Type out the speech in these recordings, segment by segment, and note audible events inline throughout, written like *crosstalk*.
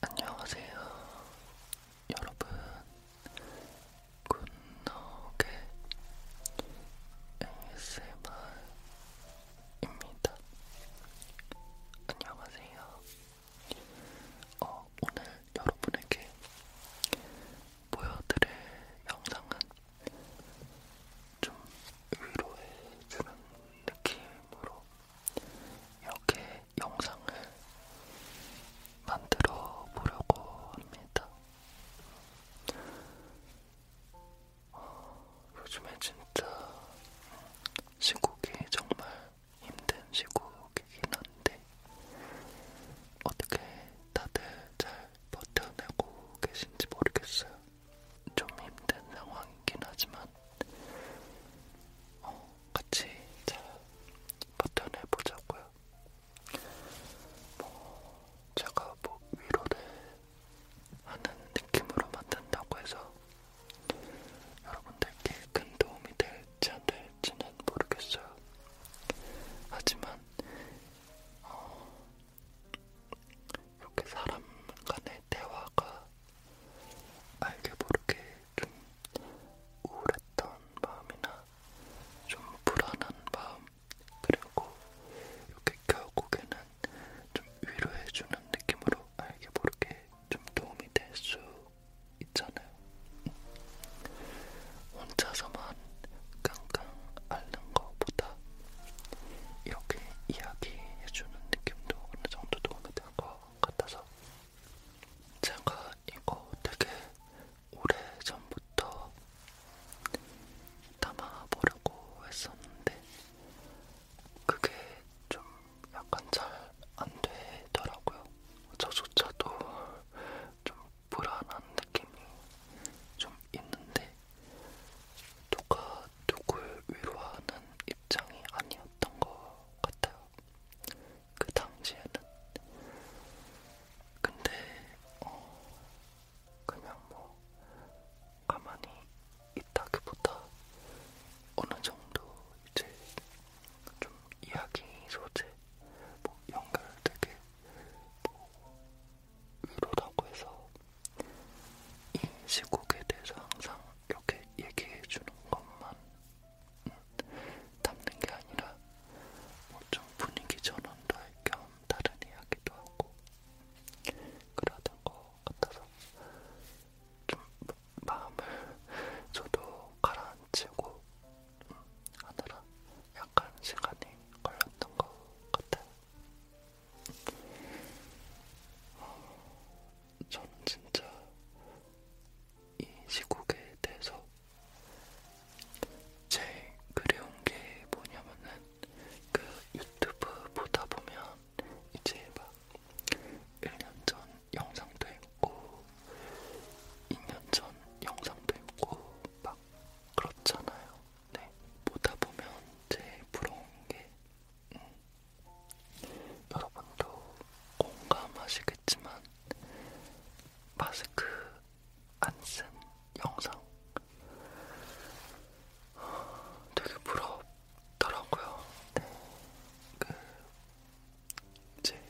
안녕하세요, 여러분. 굿노게 ASMR입니다. 안녕하세요. 어, 오늘 여러분에게 보여드릴 영상은 좀 위로해주는 느낌으로 이렇게 영상을 만들어 보려고 합니다. 어, 요즘에 진짜 시국이 정말 힘든 시국이긴 한데 어떻게 다들 잘 버텨내고 계신지 모르겠어요. 좀 힘든 상황이긴 하지만 어, 같이 잘 버텨내 보자고요. 뭐 제가 뭐 위로를 하는 느낌으로 만든다고 해서 여러분들께 큰 도움이 될지 안 될지는 모르겠어요. 하지만 어, 이렇게 사람 간의 대화가 알게 모르게 좀 우울했던 마음이나 좀 불안한 마음 그리고 이렇게 결국에는 좀 위로해주는 느낌으로 알게 모르게 좀 도움이 될 수 있잖아요. 혼자서만 깡깡 앓는 것보다 이렇게 이야기해주는 느낌도 어느 정도 도움이 될것 같아서 제가 이거 되게 오래 전부터 담아보려고 했었는데 그게 좀 약간 잘 안 되더라고요. 저조차도 좀 불안한 느낌이 좀 있는데 누가 누굴 위로하는 입장이 아니야. 아니었던 것 같아요. 그 당시에는. 근데 어 그냥 뭐 가만히 있다기보다 어느 정도 이제 좀 이야기 소재 뭐 연결되게 뭐 위로라고 해서 이 시국에 대해서 항상 이렇게 얘기해주는 것만 음, 담는 게 아니라 뭐 좀 분위기 전환도 할 겸 다른 이야기도 하고 그러던 것 같아서 좀 마음을 저도 가라앉히고 음, 하느라 약간 시간이 걸렸던 것 같아요. 음, 저는 진짜 이 시국에 대해서 제일 그리운 게 뭐냐면은 그 유튜브 보다 보면 이제 막 1년 전 영상도 있고 2년 전 영상도 있고 막 그렇잖아요. 네 보다 보면 제일 부러운 게 음, 여러분도 공감하시겠지만 마스크 안 쓴 영상 되게 부럽더라고요. 네. 그 이제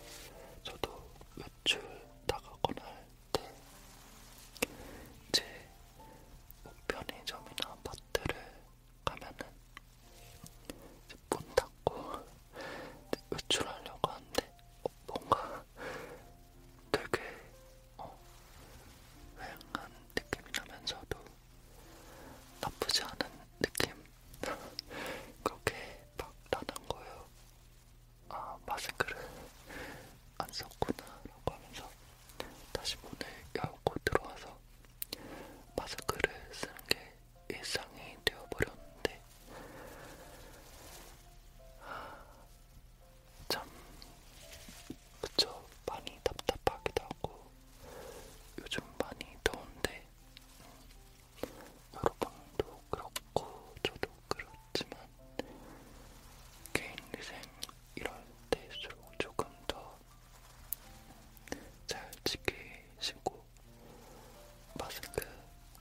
저도 외출 나가거나 할 때 이제 뭐 편의점이나 마트를 가면은 이제 문 닫고 외출하려고 하는데 어, 뭔가 되게 어, 휑한 느낌이 나면서도 나쁘지 않은 느낌? *laughs* 그렇게 막 나는 거예요. 아, 마스크를 안 썼구나 라고 하면서 다시 문을 열고 들어와서 마스크를 쓰는 게 일상이 되어버렸는데, 아, 참, 그쵸, 많이 답답하기도 하고, 요즘 많이 더운데, 음, 여러분도 그렇고, 저도 그렇지만, 개인 위생 이럴 때일수록 조금 더잘 지키시고 마스크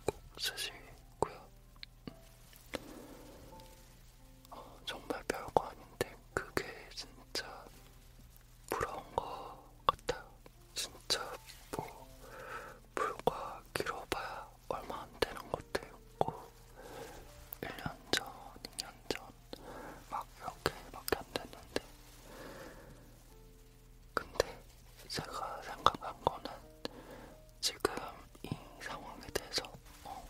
꼭 쓰시고요. 어, 정말 별거 아닌데 그게 진짜 부러운 것 같아요. 진짜 뭐 불과 길어봐야 얼마 안 되는 것도 있고 1년 전, 2년 전막 이렇게밖에 안 됐는데 근데 제가 생각한 거는 지금 이 상황에 대해서 어,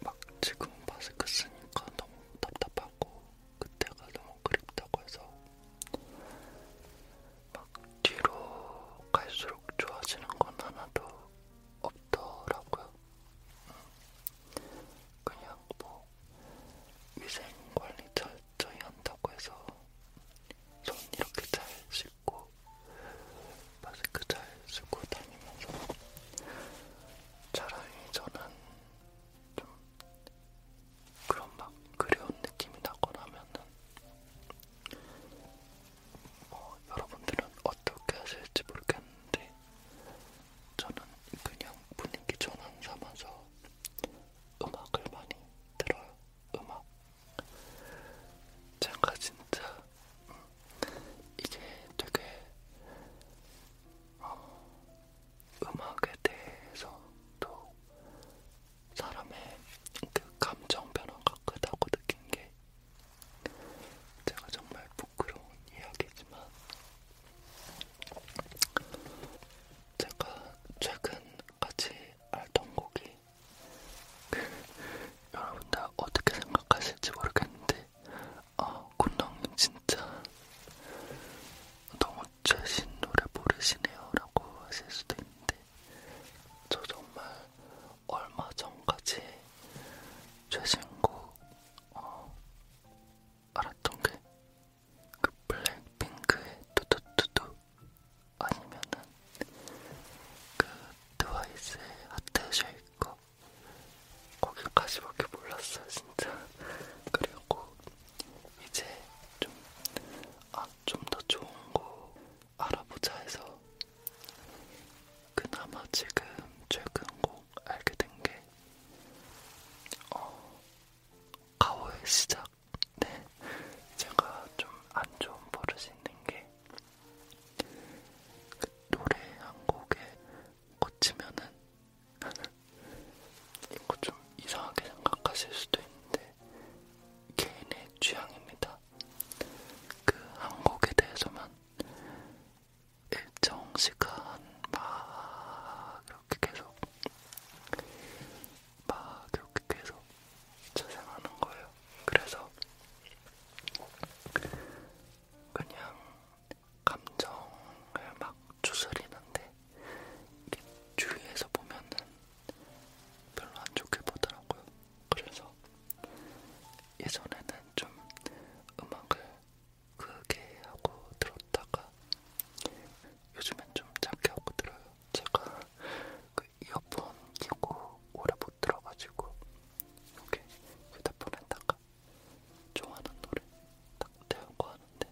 막 지금 마스크 쓰니까 너무 답답하고 그때가 너무 그립다고 해서 막 뒤로 갈수록 좋아지는 건 하나도 없더라고요. 음. 그냥 뭐 위생관리 철저히 한다고 해서 손 이렇게 잘 씻고 마스크 잘 쓰고 다니면서 차라리 저는 좀 그런 막 그리운 느낌이 나거나 하면은 뭐 여러분들은 어떻게 하실지 모르겠는데 저는 그냥 분위기 전환 삼아서 음악을 많이 들어요. 음악. 제가 진짜 음, 이게 되게 어, 음악에 대해서 또 사람의 그 감정 변화가 크다고 느낀 게 제가 정말 부끄러운 이야기지만 제가 최근까지 알던 곡이 *laughs* 여러분들 어떻게 생각하실지 모르겠는데 아 군덩님 진짜 너무 최신 노래 모르시네요 라고 하실 수도 있는데 저 정말 얼마 전까지 최신 곡 어, 알았던 게그 블랙핑크의 두두두두 아니면은 그 트와이스의 하트 쉐이커 거기까지밖에 몰랐어요 진짜 *laughs* 그리고 이제 좀 아 좀 더 좋은 거 알아보자 해서 그나마 지금 최근 곡 알게 된 게 어, 가오의 시작. 네, 제가 좀 안 좋은 버릇이 있는 게그 노래 한 곡에 꽂히면은 *laughs* 이거 좀 이상하게 생각하실 수도 있는데 개인의 취향입니다. 그 한 곡에 대해서만 일정 시간 막 이렇게 계속 막 이렇게 계속 재생하는 거예요. 그래서 그냥 감정을 막 추스리는데 주위에서 보면은 별로 안 좋게 보더라고요. 그래서 예전에는 좀 음악을 크게 하고 들었다가 요즘엔 좀 작게 하고 들어요. 제가 그 이어폰 끼고 오래 못 들어가지고 이렇게 휴대폰에다가 좋아하는 노래 딱 대고 하는데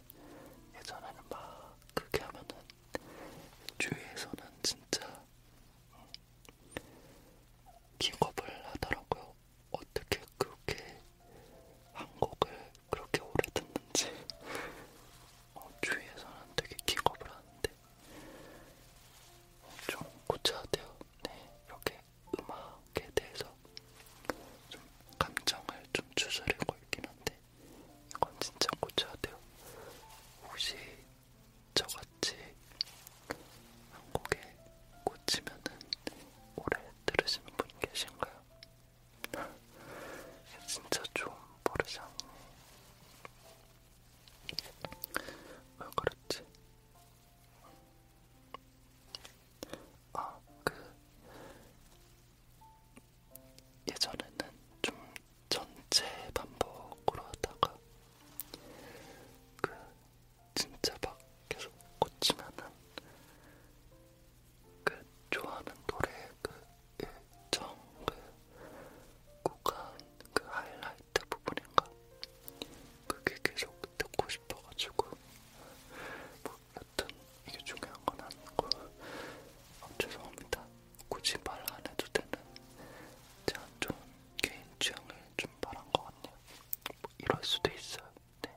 예전에는 막 크게 하면은 주위에서는 진짜 음, 기겁을 하더라고요. 어떻게 그렇게 한 곡을 그렇게 오래 듣는지 어, 주위에서는 되게 기겁을 하는데 좀 고쳐야 돼요. 네, 이렇게 음악에 대해서 좀 감정을 좀 추스리고 있긴 한데 이건 진짜 고쳐야 돼요. 혹시 저같이 한국에 꽂히면은 오래 들으시는 분 계신가요? 진짜 좀 버릇이 안 네. 왜 그랬지? 아, 그 예전에는 좀 전체 반복으로 하다가 그 진짜 막 계속 꽂히면은 그 좋아하는 노래의 그 일정 예, 그 구간 그 하이라이트 부분인가 그게 계속 듣고 싶어가지고 뭐 여튼 이게 중요한 건 아니고 어, 죄송합니다 굳이 말 안 해도 되는 제가 좀 개인 취향을 좀 말한 것 같네요 뭐 이럴 수도 있어요 네.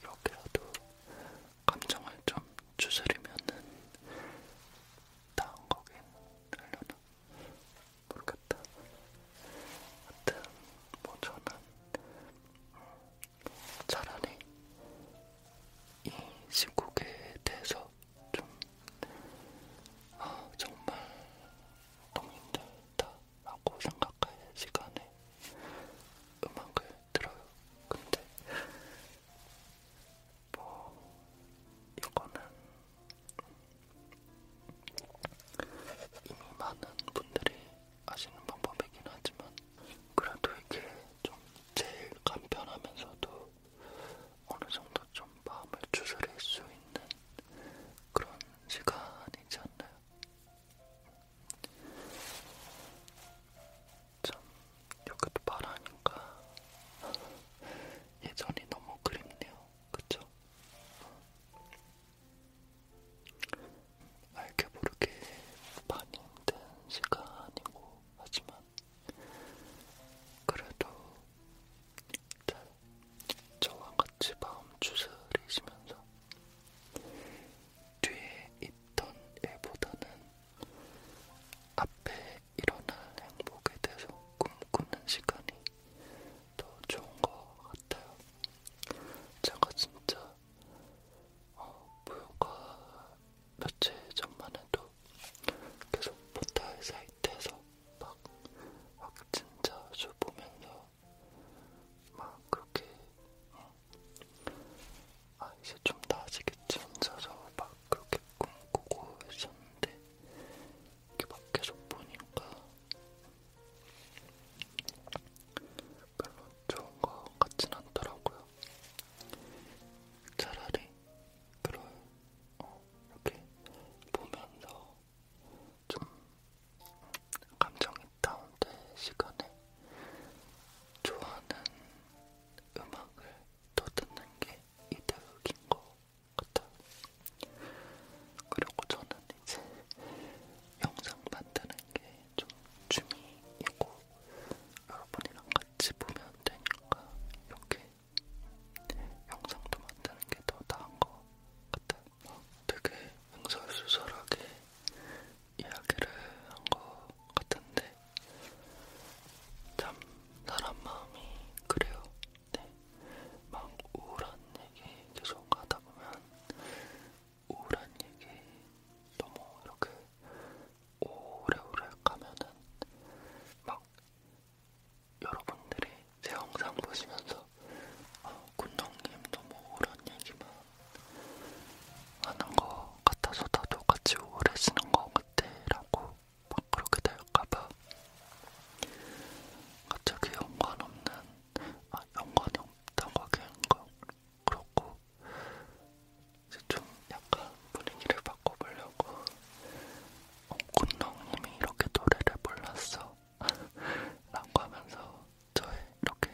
이렇게라도 감정을 좀 추스리면은 다음 거긴 하려나 모르겠다. 하여튼 뭐 저는 음, 차라리 이 시국에 대해서 좀 아, 정말 너무 힘들다 라고 생각할 시간에 음악을 들어요. 근데 뭐 이거는 이미 많은 분들이 아시는 방법이긴 하지만 그래도 이게 좀 제일 간편하면서도 어느 정도 좀 마음을 추스릴 수 있는 그런 시간이지 않나요? 참 여기도 바라니까 *laughs* 예전이 너무 그립네요. 그쵸? 알게 모르게 많이 힘든 시간이고 하지만 그래도 잘 저와 같이 마음 추스리시면서 뒤에 있던 일보다는 앞에 일어날 행복에 대해서 꿈꾸는 시간이 더 좋은 것 같아요. 제가 진짜 어, 불과 며칠 전만 해도 계속 포털 사이트에서 막 확진자 수 보면서 막 그렇게 어. 아 이제 좀 나아지겠지 혼자서 막 그렇게 꿈꾸고 했었는데 이렇게 막 계속 보니까 별로 좋은 거 같진 않더라고요. 차라리 그런 어, 이렇게 보면서 좀 감정이 다운된 시간에 좋아하는 음악을 더 듣는 게 이득인 것 같아요. 그리고 저는 이제 영상 만드는 게좀 취미이고 여러분이랑 같이 보면 되니까 이렇게 영상도 만드는 게 더 나은 것 같아요. 되게 응설수설하게 이야기를 한 것 같은데 참 사람 마음이 그래요. 네. 막 우울한 얘기 계속 하다 보면 우울한 얘기 너무 이렇게 오래오래 가면은 막 여러분들이 제 영상 보시면서 아, 군동님 너무 우울한 얘기만 하는 거 같아서 나도 같이 오래 지는 거 같애라고 막 그렇게 될까봐 갑자기 연관 없는 아 연관이 없다고 하기엔 그렇고 이제 좀 약간 분위기를 바꿔보려고 어, 군동님이 이렇게 노래를 몰랐어 *laughs* 라고 하면서 저의 이렇게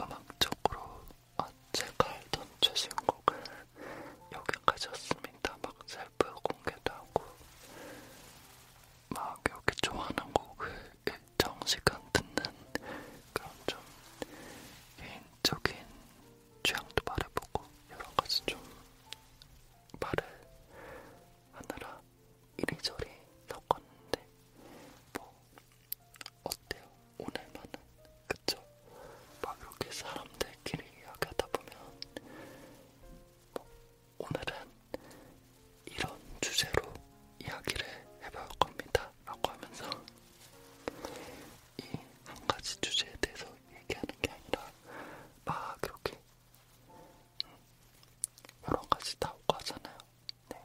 음악적으로 아, 제가 알던 최신 곡은 여기까지였습니다. 막 셀프 공개도 하고 막 이렇게 좋아하는 곡을 일정 시간 듣는 그런 좀 개인적인 취향도 말해보고 여러 가지 좀 말을 하느라 이리저리 섞었는데 뭐 어때요? 오늘만은 그쵸? 막 이렇게 사람들끼리 이야기하다 보면 뭐 오늘은 이런 주제로 이야기를 해볼 겁니다. 라고 하면서 이 한 가지 주제에 대해서 얘기하는 게 아니라 막 이렇게 여러 가지 다 오고 하잖아요. 네.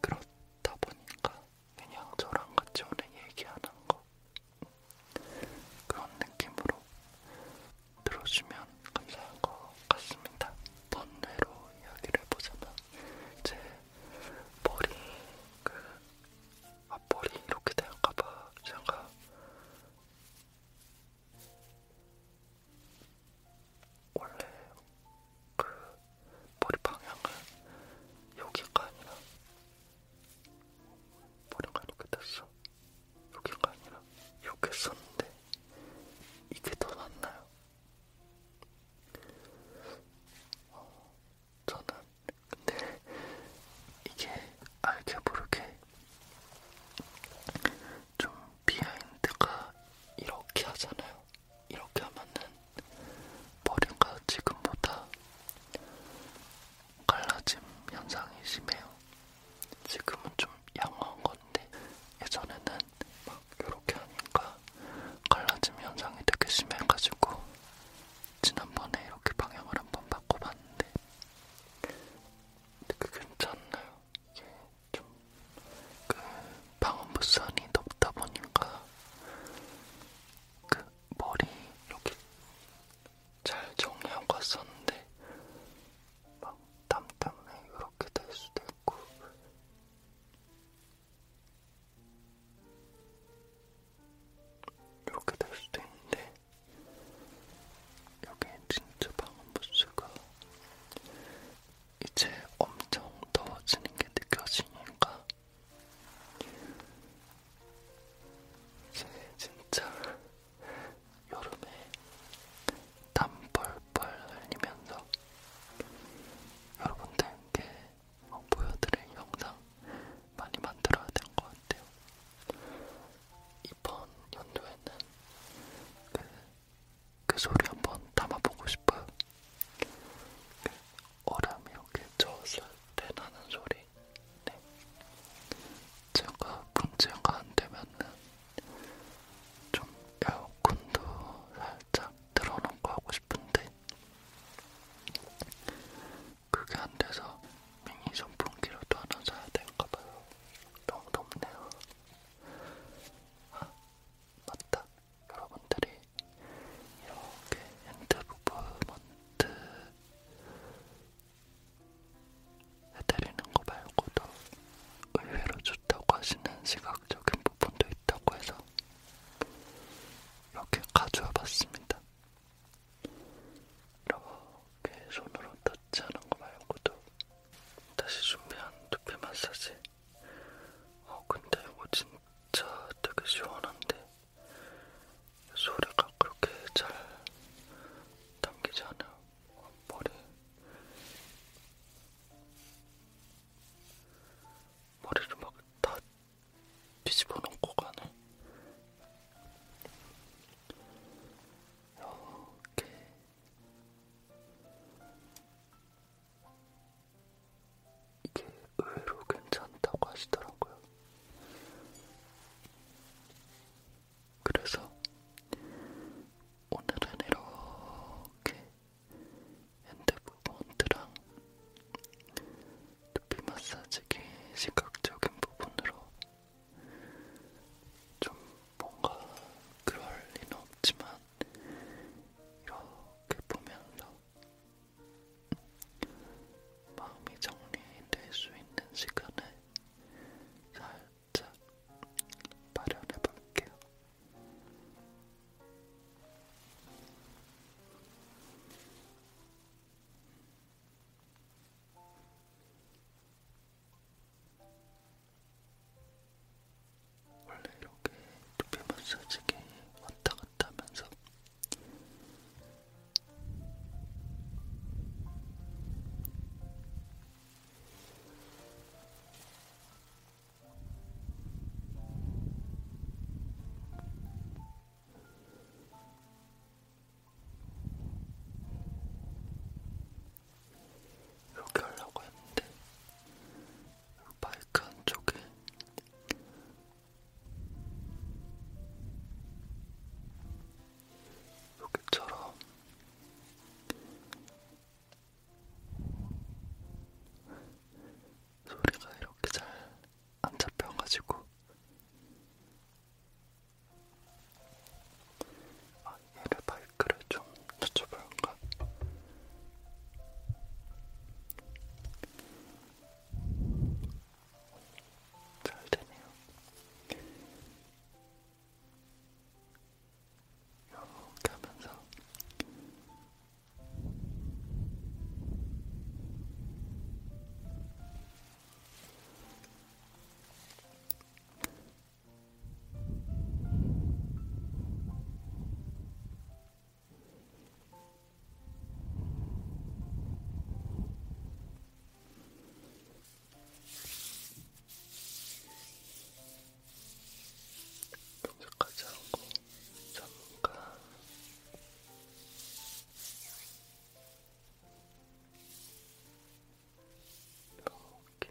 그렇다 보니까 그냥 저랑 같이 오늘 얘기하는 거 그런 느낌으로 들어주면 감사한 것 같습니다. 번뇌로 이야기를 해보자면 제 머리 그 앞머리 이렇게 될까봐 제가 원래 그 머리 방향은 여기가 아니라 머리가 이렇게 됐어. 여기가 아니라 이렇게 썼는데 이게 더 낫나요? 어, 저는 근데 이게 알게 모르게 좀 비하인드가 이렇게 하잖아요. 이렇게 하면은 머리가 지금보다 갈라짐 현상이 심해요. 지금은 좀 양호한 건데 예전에는 막 이렇게 하니까 갈라짐 현상이 되게 심해가지고 지난번에 이렇게 방향을 한번 바꿔봤는데 되게 괜찮나요? 이게 좀그 방음부산이 높다 보니까 그 머리 이렇게 잘 정리하고 왔었는데 막땀 때문에 이렇게 될 수도 있고 이렇게 될 수도 있는데 여기 진짜 방음부스가 이제 엄청 더워지는 게 느껴지니까 이제 진짜 여름에 땀 뻘뻘 흘리면서 여러분들께 보여드릴 영상 많이 만들어야 될 것 같아요. 이번 연도에는 그그 소리 한번 담아보고 싶어요. 어람이 이렇게 저었을 때 나는 소리. 네. 제가 문제가 안 되면은 좀 에어컨도 살짝 틀어놓고 하고 싶은데 그게 안 돼서 미니 선풍기로도 하나 사야 될까 봐요. 너무 덥네요. 아, 맞다. 여러분들이 이렇게 핸드부먼트 해드리는 거 말고도 의외로 좋다고 하시는 시각적인 부분도 있다고 해서 이렇게 가져와 봤습니다. 이렇게 손으로 터치하는 거 말고도 다시 준비한 두피 마사지. 어, 근데 이거 진짜 되게 시원한데 소리가 그렇게 잘 담기지 않아요. 어, 머리. 머리를 막 다 뒤집어 놓고 가네. 이렇게 이게 의외로 괜찮다고 하시더라고요. 그래서 오늘은 이렇게 핸드부분트랑 두피 마사지기 시각적인 부분으로 좀 뭔가 그럴 리는 없지만 이렇게 보면서 마음이 정리될 수 있는 시간을 살짝 마련해 볼게요. 원래 이렇게 두피 마사지기 왔다 갔다 하면서 이렇게 하려고 했는데 마이크 한쪽에 여기처럼 소리가 이렇게 잘 안 잡혀가지고 아, 얘를 마이크를 좀 낮춰볼까? 잘 되네요. 이렇게 하면서 염색하지 않고 잠깐 이렇게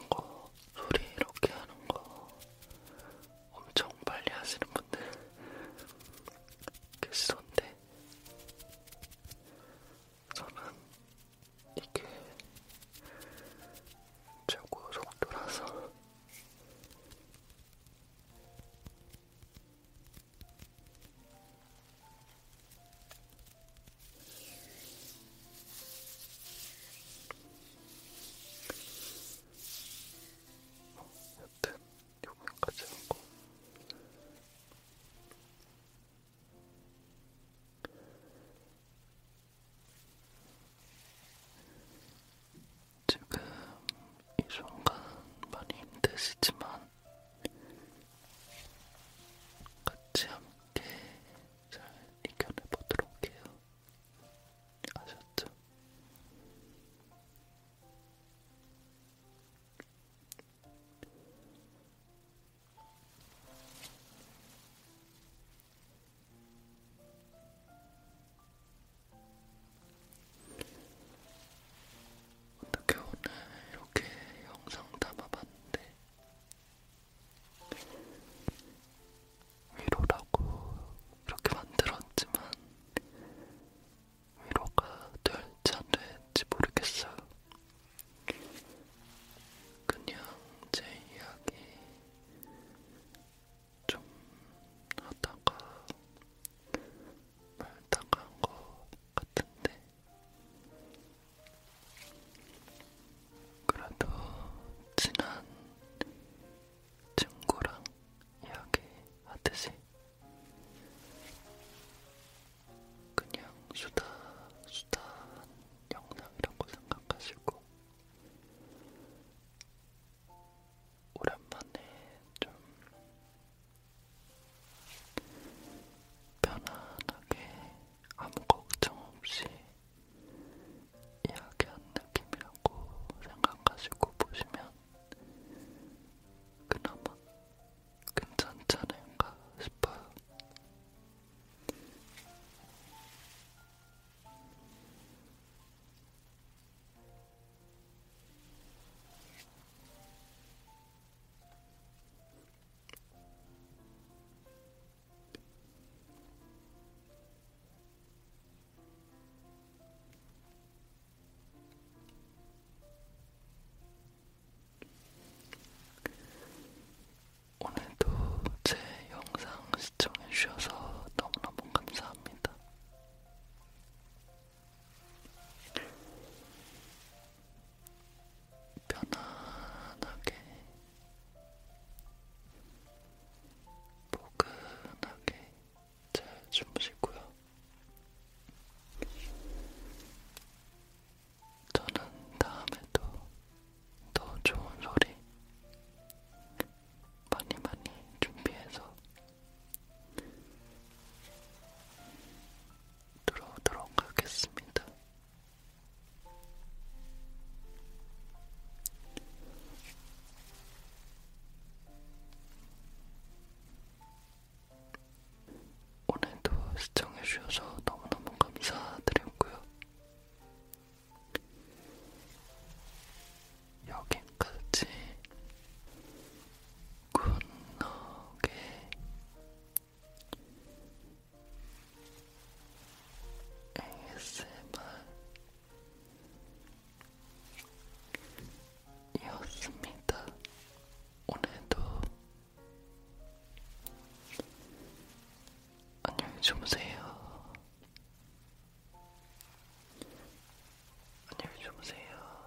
이거 소리 이렇게 하는 거 엄청 빨리 하시는 분들 계시던데 저는 이게 최고 속도라서 뭐, 여튼 여기까지 하고 지금 이 순간 많이 힘드시지만 같이 함께 잘 이겨내보도록 해요. 아셨죠? 어떻게 오늘 이렇게 영상 담아봤는데 위로라고 이렇게 만들었지만 위로가 될지 안 될지 모르겠어요. 그냥 제 이야기 좀 하다가 딱한 것 같은데 그래도 친한 친구랑 이야기하듯이 그냥 수다 수다 영상이라고 생각하시고 오랜만에 좀 편안하게 아무 걱정 없이 이야기한 느낌이라고 생각하시고 보시면 그나마 괜찮지 않을까 싶어요. 오늘도 제 영상 시청해주셔서 너무너무 감사합니다. 편안하게, 포근하게 잘 주무시고요. 저는 다음에도 더 좋은 소리 많이 많이 준비해서 들어오도록 하겠습니다. 오늘도 시청해주셔서 너무너무 감사드리고요. 여기까지 군더게 ASMR이었습니다. 오늘도 안녕히 주무세요. 안녕히 주무세요.